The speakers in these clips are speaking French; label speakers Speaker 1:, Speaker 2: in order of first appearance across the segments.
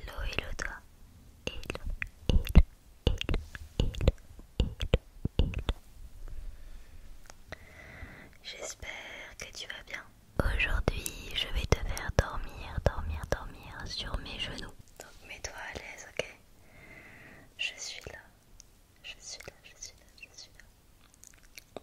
Speaker 1: Hello, hello toi. Hello, hello, hello, hello, hello, hello. J'espère que tu vas bien. Aujourd'hui, je vais te faire dormir, dormir, dormir sur mes genoux. Donc mets-toi à l'aise, ok Je suis là. Je suis là, je suis là, je suis là.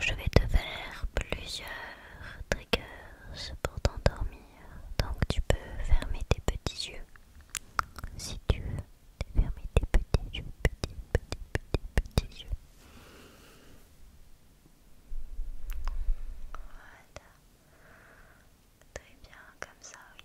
Speaker 1: Je vais te faire plusieurs triggers pour t'endormir, donc tu peux fermer tes petits yeux si tu veux. Fermer tes petits yeux, petits, petits, petits, petits yeux. Voilà. Très bien, comme ça, oui.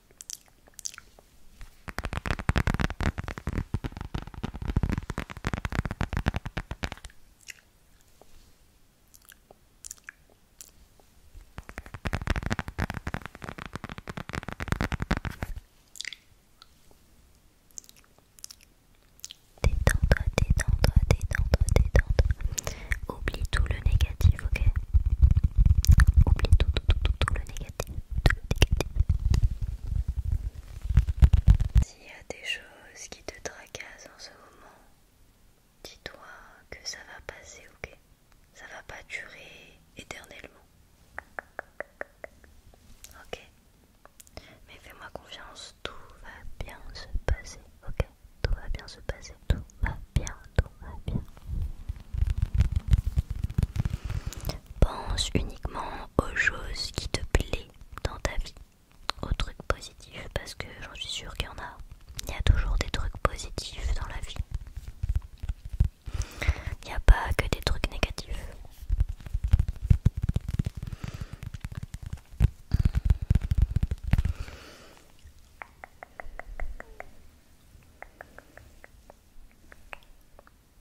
Speaker 1: Détends-toi, détends-toi, détends-toi, détends-toi. Oublie tout le négatif, ok Oublie tout, tout, tout, tout, tout le négatif. Si S'il y a des choses qui te tracassent en ce moment, dis-toi que ça va passer, ok Ça va pas durer éternellement. Ok Mais fais-moi confiance, tout va bien se passer, ok Tout va bien se passer, tout va bien, tout va bien. Pense uniquement aux choses qui te plaît dans ta vie, aux trucs positifs, parce que j'en suis sûre qu'il y en a. Il y a toujours des trucs positifs dans la vie. Il n'y a pas que des trucs négatifs.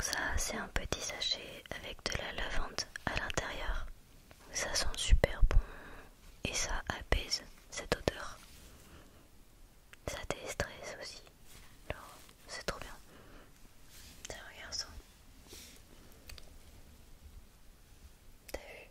Speaker 1: Ça, c'est un petit sachet avec de la lavande à l'intérieur. Ça sent super bon et ça apaise cette odeur. Ça déstresse aussi. c'est trop bien. regarde ça. T'as vu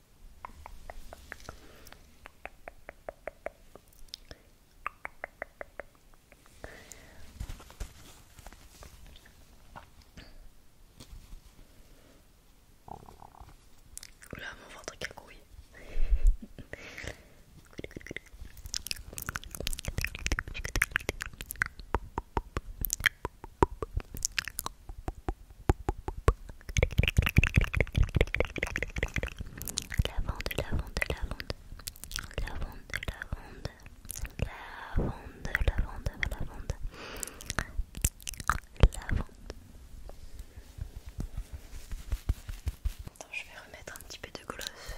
Speaker 1: Là, mon ventre couille. Lavande, lavande, lavande. Lavande, lavande. Lavande, lavande, lavande. Lavande. Attends, je vais remettre un petit peu de gloss.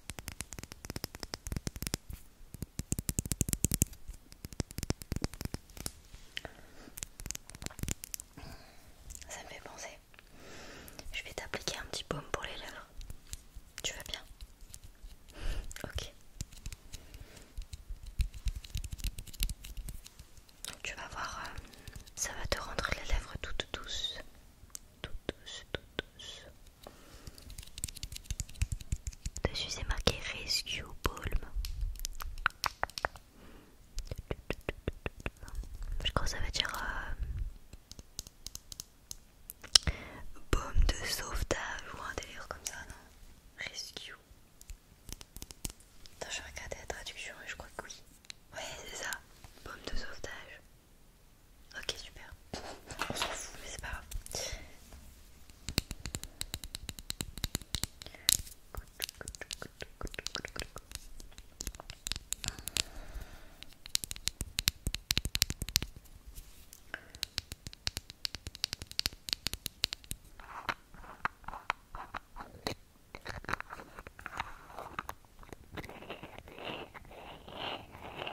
Speaker 1: Ça me fait penser. Je vais t'appliquer un petit baume pour les lèvres. Tu vas bien Ok. Tu vas voir, euh, ça va te rendre les lèvres toutes douces. Toutes douces, toutes douces. Dessus c'est marqué Rescue Balm. Je crois ça veut dire euh, baume de sauvetage ou un délire comme ça, non Rescue. Attends, je vais regarder la traduction et je crois que oui. Ouais, c'est ça, baume de sauvetage. Ok, super. On s'en fout, mais c'est pas grave.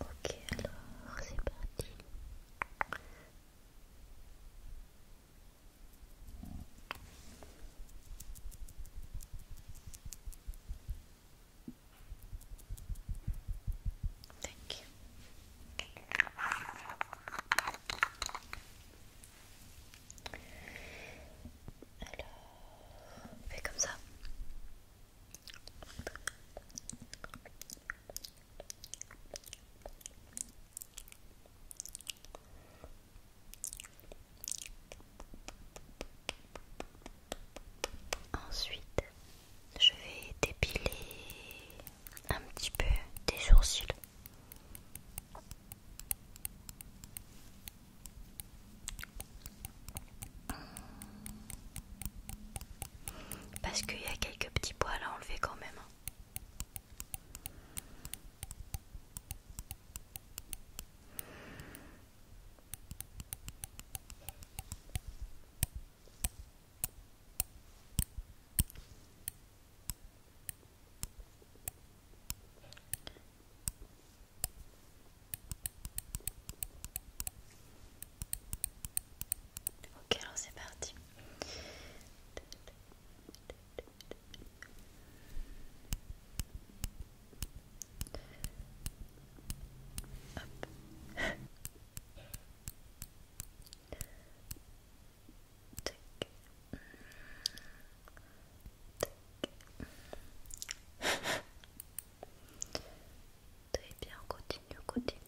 Speaker 1: Ok, alors c'est parti. Alors, fait comme ça. Ensuite, je vais dépiler un petit peu des sourcils. Parce qu'il y a quelques petits poils à enlever quand même. Hein. Ok, alors c'est parti. Très bien, continue, continue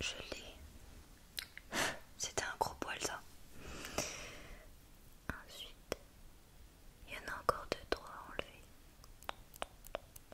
Speaker 1: je l'ai. C'était un gros poil ça. Ensuite, il y en a encore deux, trois à enlever.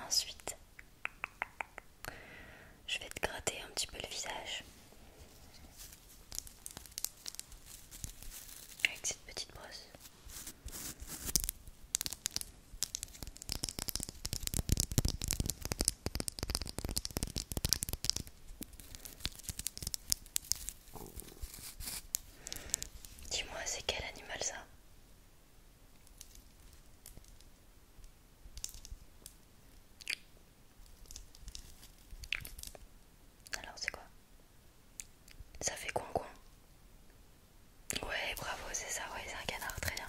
Speaker 1: Ensuite, je vais te gratter un petit peu le visage avec cette petite brosse. Dis-moi, c'est quel animal ça Alors c'est quoi Ça fait coin coin Ouais bravo c'est ça, ouais c'est un canard, très bien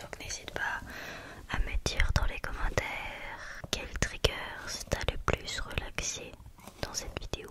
Speaker 1: Donc n'hésite pas à me dire dans les commentaires quel triggers t'a le plus relaxé dans cette vidéo.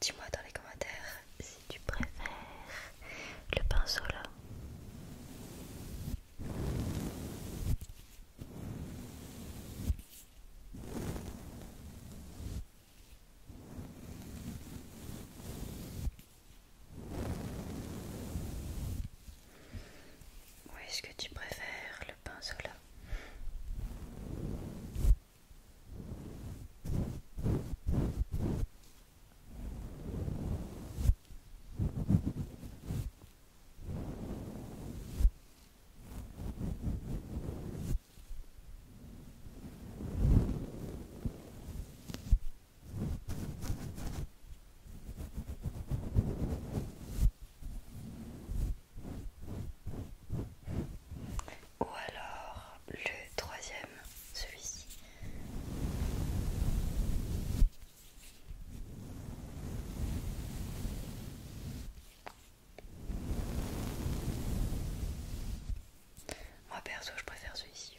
Speaker 1: Dis-moi dans les commentaires si tu préfères le pinceau là. Ou est-ce que tu préfères le pinceau là ou alors le troisième, celui-ci. Moi perso, je préfère celui-ci.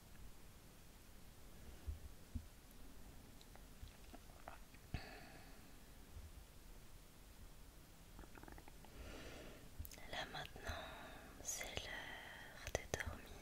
Speaker 1: Là maintenant, c'est l'heure de dormir.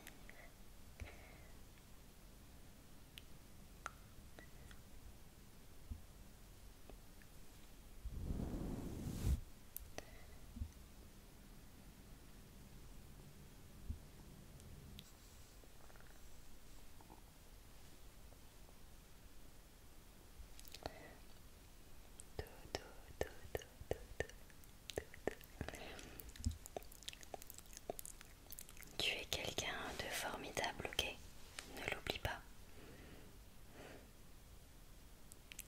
Speaker 1: Tu es quelqu'un de formidable, ok Ne l'oublie pas.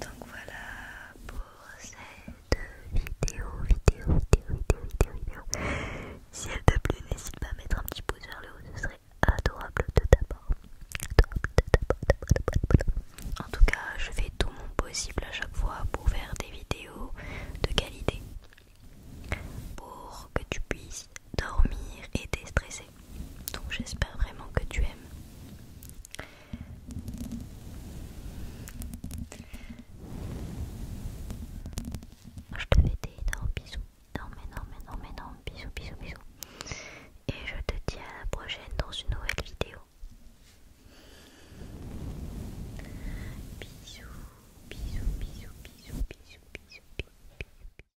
Speaker 1: Donc voilà pour cette vidéo, vidéo, vidéo, vidéo, vidéo, Si elle te plaît, n'hésite pas à mettre un petit pouce vers le haut, ce serait adorable de t'avoir En tout cas, je fais tout mon possible à chaque fois pour faire des vidéos de qualité pour que tu puisses dormir et déstresser. Donc j'espère vraiment que tu aimes. Je te fais des énormes bisous. mais non mais non bisous, bisous, bisous. Et je te dis à la prochaine dans une nouvelle vidéo. Bisous, bisous, bisous, bisous, bisous, bisous, bisous. bisous.